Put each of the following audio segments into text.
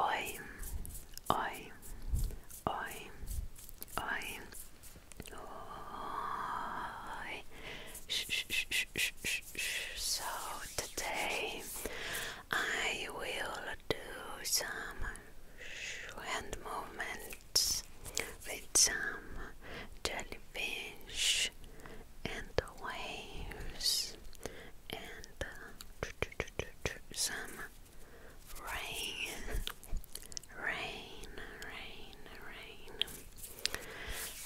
Oi, oi, oi, oi, oi. So today I will do some hand movements with some jellyfish and the waves and some rain, rain, rain, rain.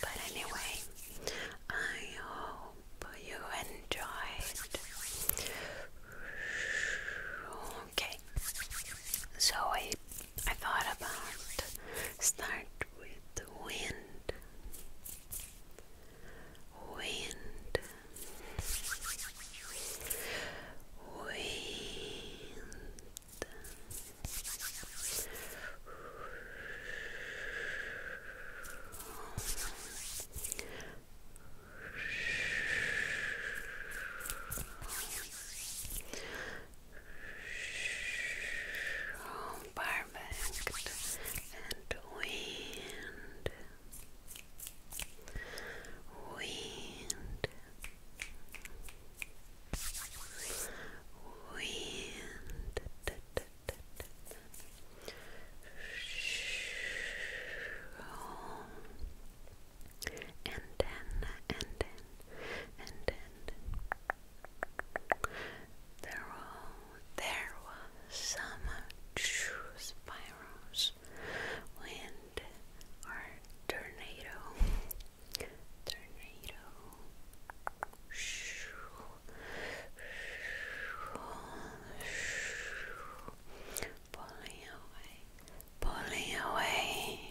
But anyway, I hope you enjoyed. Okay, so I I thought about start with the wind wind, wind perfect and wind wind wind And then, and then, and then, they're all there was some true spirals, wind, or tornado. Tornado. Pulling away, pulling away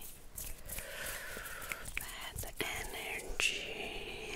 bad energy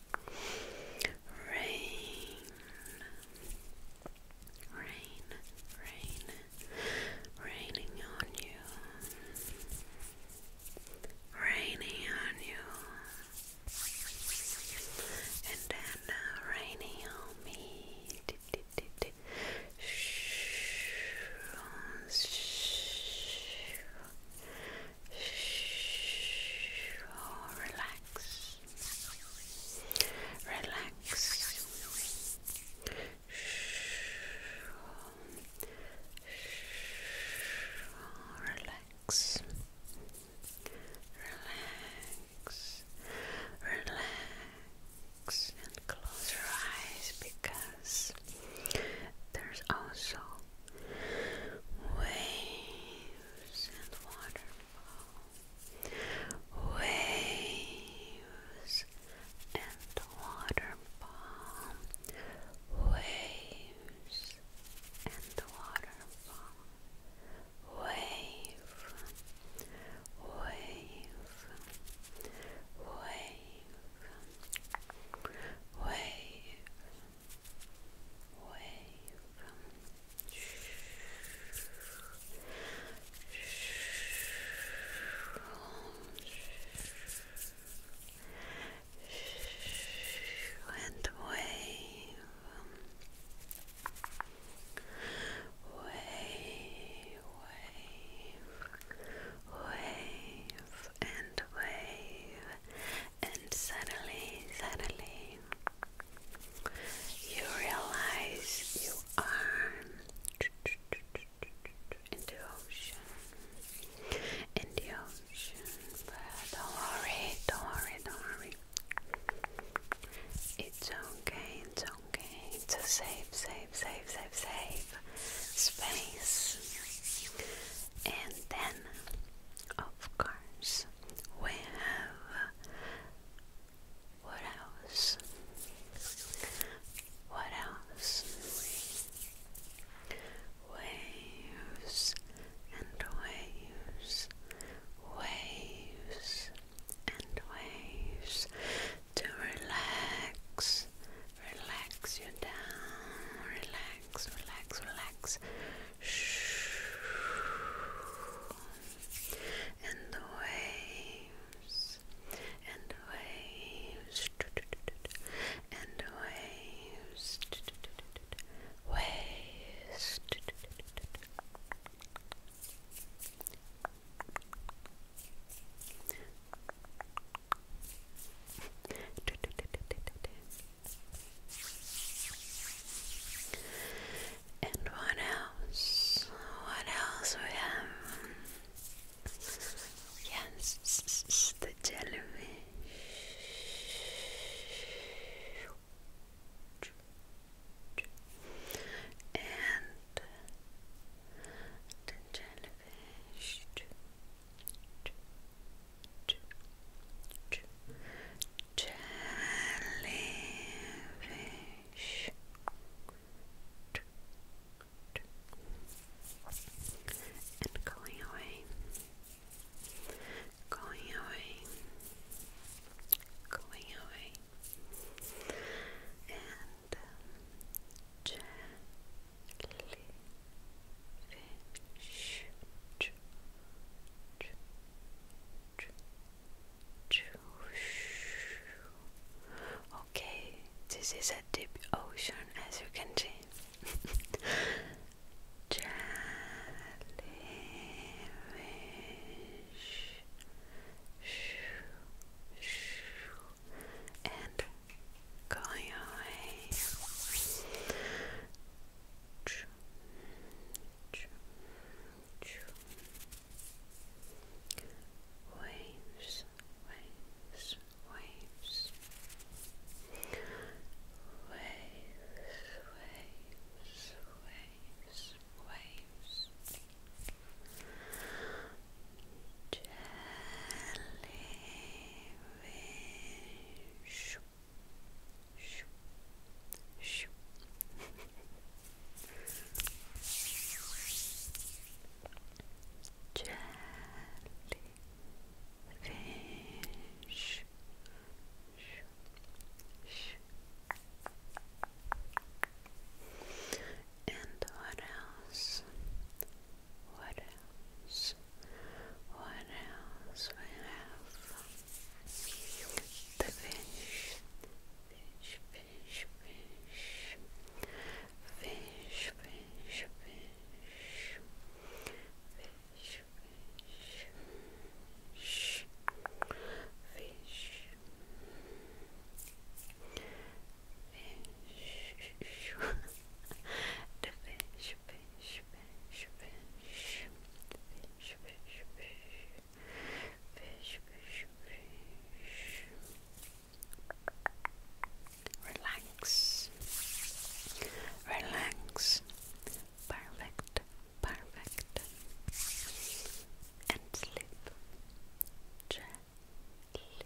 Rain, rain, rain, raining on you, raining on you, and then uh, raining on me. Oh, relax. Relax. Oh, relax. Relax. Relax and close your eyes because there's also waves and waterfall, waves and waterfall, waves and waterfall, wave, wave, wave, wave away from and away from way, wave and wave, and suddenly, suddenly, you realize you are in the ocean, in the ocean. But don't worry, don't worry, don't worry. It's okay, it's okay. It's a safe, safe, safe, safe, safe space. And then of course, we have what else? What else? Waves and waves, waves and waves to relax, relax you down, relax relax, relax, relax. And the waves, and the waves, and the waves, waves. And what else? What else we have? Yes, the jellyfish. And the jellyfish jellyfish and going away, going away, going away, and uh, okay, this is a deep ocean as you can see. going away. Waves, waves, waves. Waves, waves, waves, waves. Jelly shoo, shoo, shoo. Jellyfish. And what else? What else? What else we have? The fish, fish, fish, fish, fish, fish, fish, fish, fish, fish. Fish, the fish, fish, Relax, relax, perfect, perfect, and sleep. Jellyfish,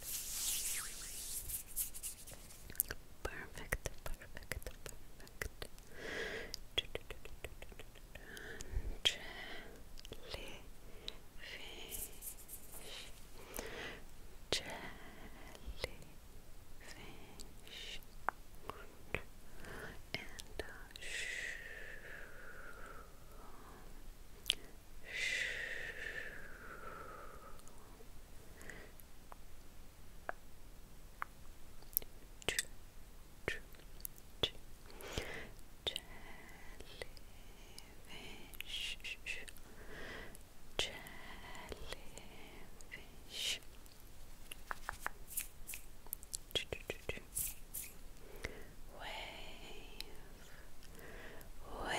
fish. Perfect, perfect, perfect. Jellyfish, jellyfish, and a jellyfish jellyfish Wave, wave, wave,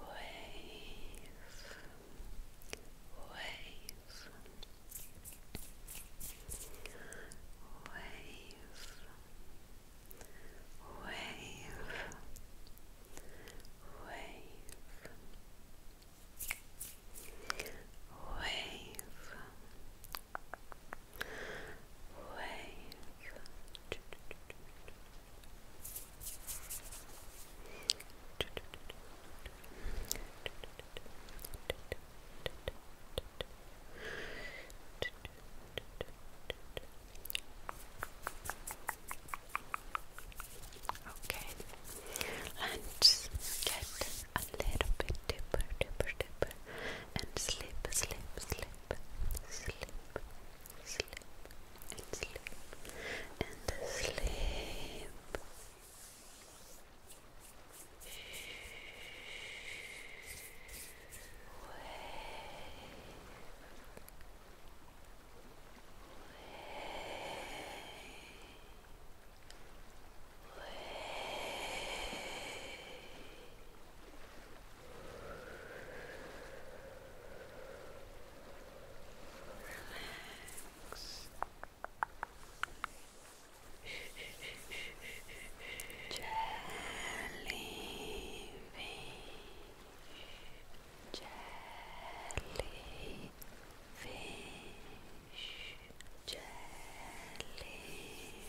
wave. Wave, wave, wave, wave, Okay, let's get a little bit deeper, deeper, deeper and sleep, sleep, sleep, sleep, sleep, and slip, and slip. Wave, wave, wave, wave, Relax. Jellyfish. Jellyfish. Jellyfish.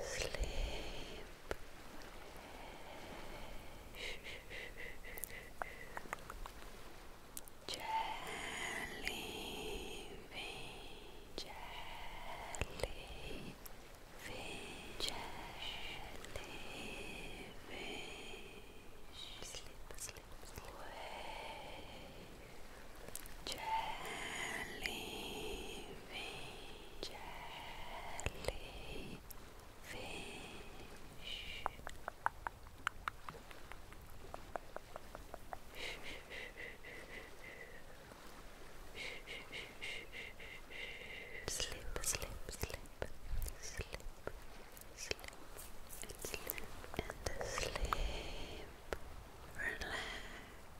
sleep. Jellyfish, jellyfish, jellyfish. Sleep, sleep, Wake jellyfish, jellyfish. Sleep, sleep, sleep, sleep, sleep, and sleep, and sleep. Relax,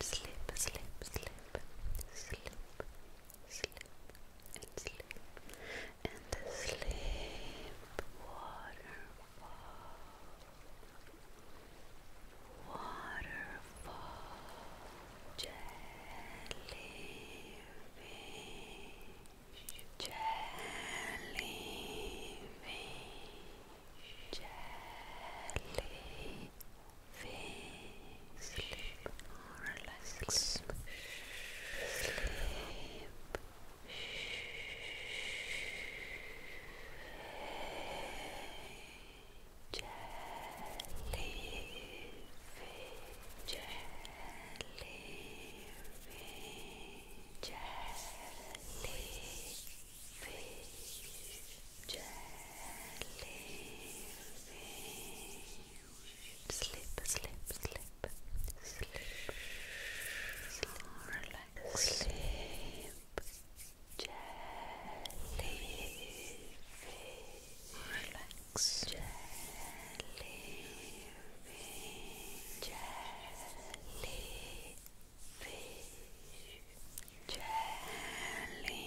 Sleep, sleep, sleep, sleep, sleep, and sleep, and the sleep waterfall, waterfall, jellyfish, jellyfish, jellyfish sleep or relax. jellyfish, jellyfish, jellyfish, jellyfish, Sleep, sleep, sleep, sleep, relax, sleep, jellyfish, relax, jellyfish, jellyfish. Jellyfish,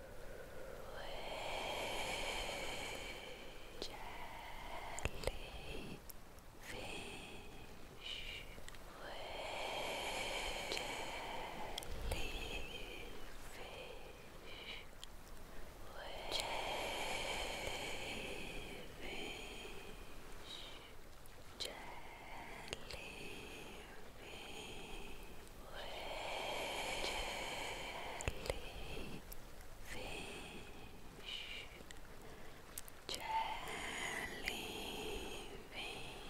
jellyfish fish, jellyfish, relax, wave, wave.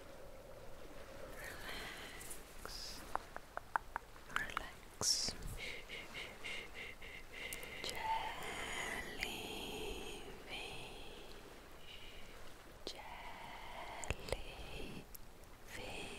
Relax. Relax. Jellyfish. Jellyfish. Jellyfish.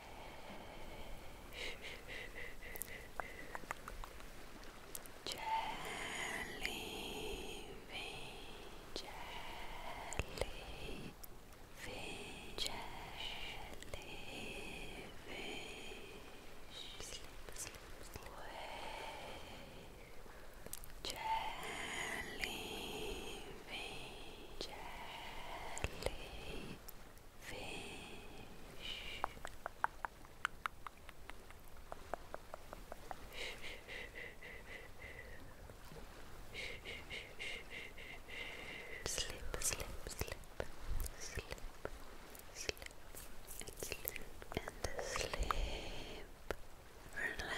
jellyfish, jellyfish, jellyfish, sleep, sleep, sleep. jellyfish, jellyfish fish. Slip, slip, slip, slip, slip, and slip, and slip. Relax,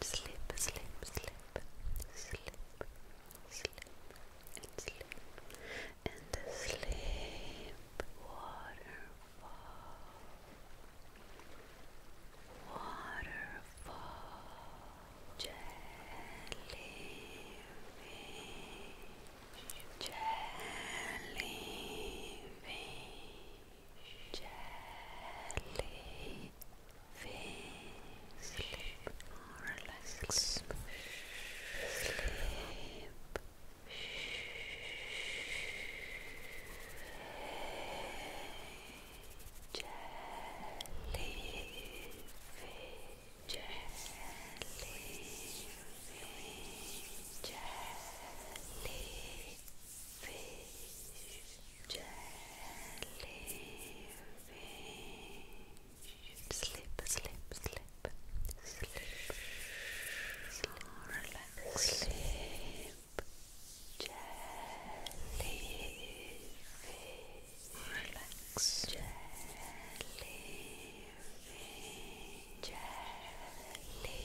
Slip, slip, slip, slip, slip, and slip, and the sleep water, waterfall, jellyfish, jellyfish, jellyfish, sleep, relax, sleep, Jellyfish, slip, slip, slip sleep, sleep, relax, jellyfish, jellyfish, jellyfish, jellyfish.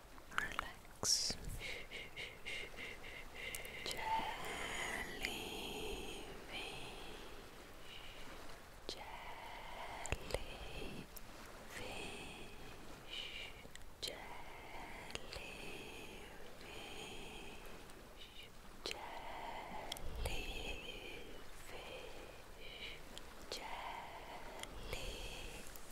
relax jellyfish jellyfish jellyfish jellyfish jellyfish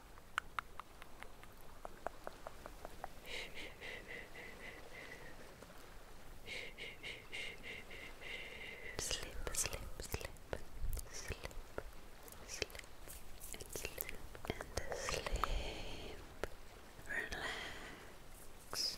Slip, slip, slip, slip, slip, and slip, and sleep. Relax. Relax.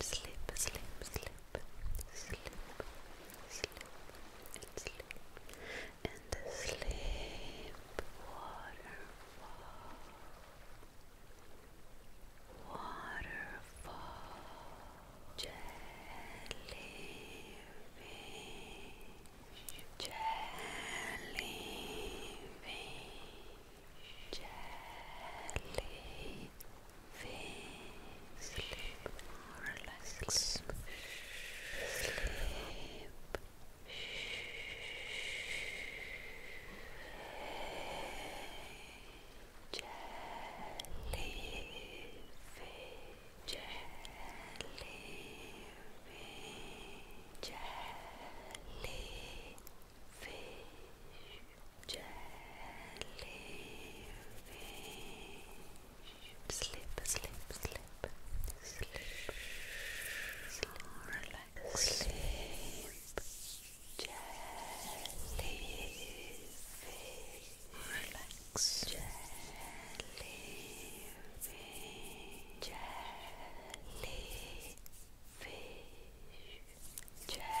Sleep, sleep, sleep, sleep, sleep, and sleep, and sleep, waterfall. Waterfall, waterfall, jellyfish, jellyfish, jellyfish, sleep, relax, sleep. Shh jellyfish, jellyfish, jellyfish, jellyfish. Sleep, sleep, sleep, sleep, sleep, relax, sleep. Jellyfish. Relax. Jellyfish. Jellyfish. Jellyfish.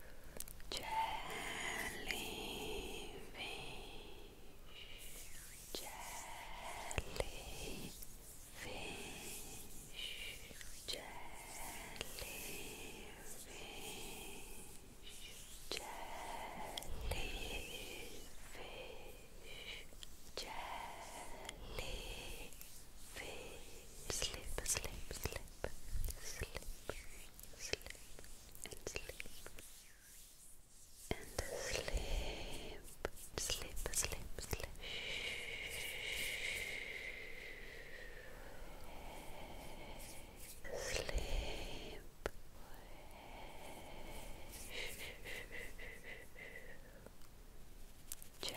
jellyfish, jellyfish, jellyfish, jellyfish, jellyfish, sleep, sleep, sleep sleep, sleep, and sleep, and sleep, sleep, sleep, sleep. Sleep jellyfish,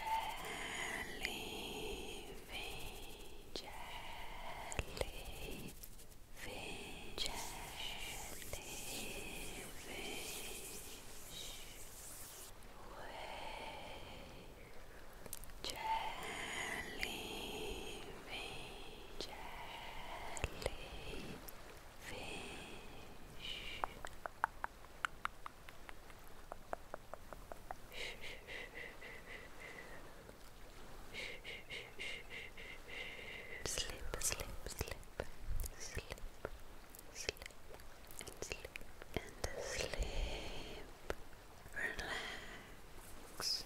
jellyfish, jellyfish, wave, jellyfish, jellyfish. Fish, Slip, slip, slip, slip, slip, and sleep, and sleep. Relax.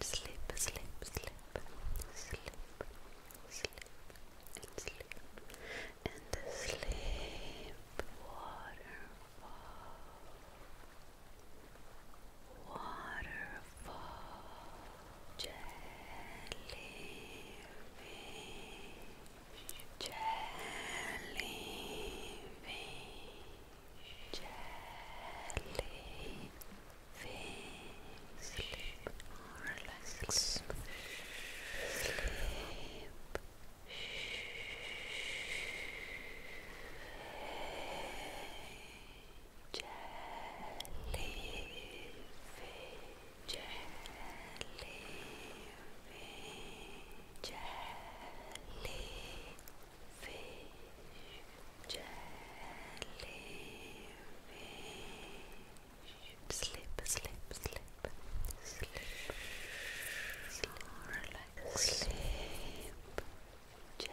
Sleep, sleep, sleep, sleep, sleep, sleep, and sleep waterfall, waterfall, jellyfish, jellyfish, jellyfish. Sleep, relax, sleep jellyfish, jellyfish, jellyfish, jellyfish. Sleep, sleep, sleep, sleep, relax, sleep. Jellyfish,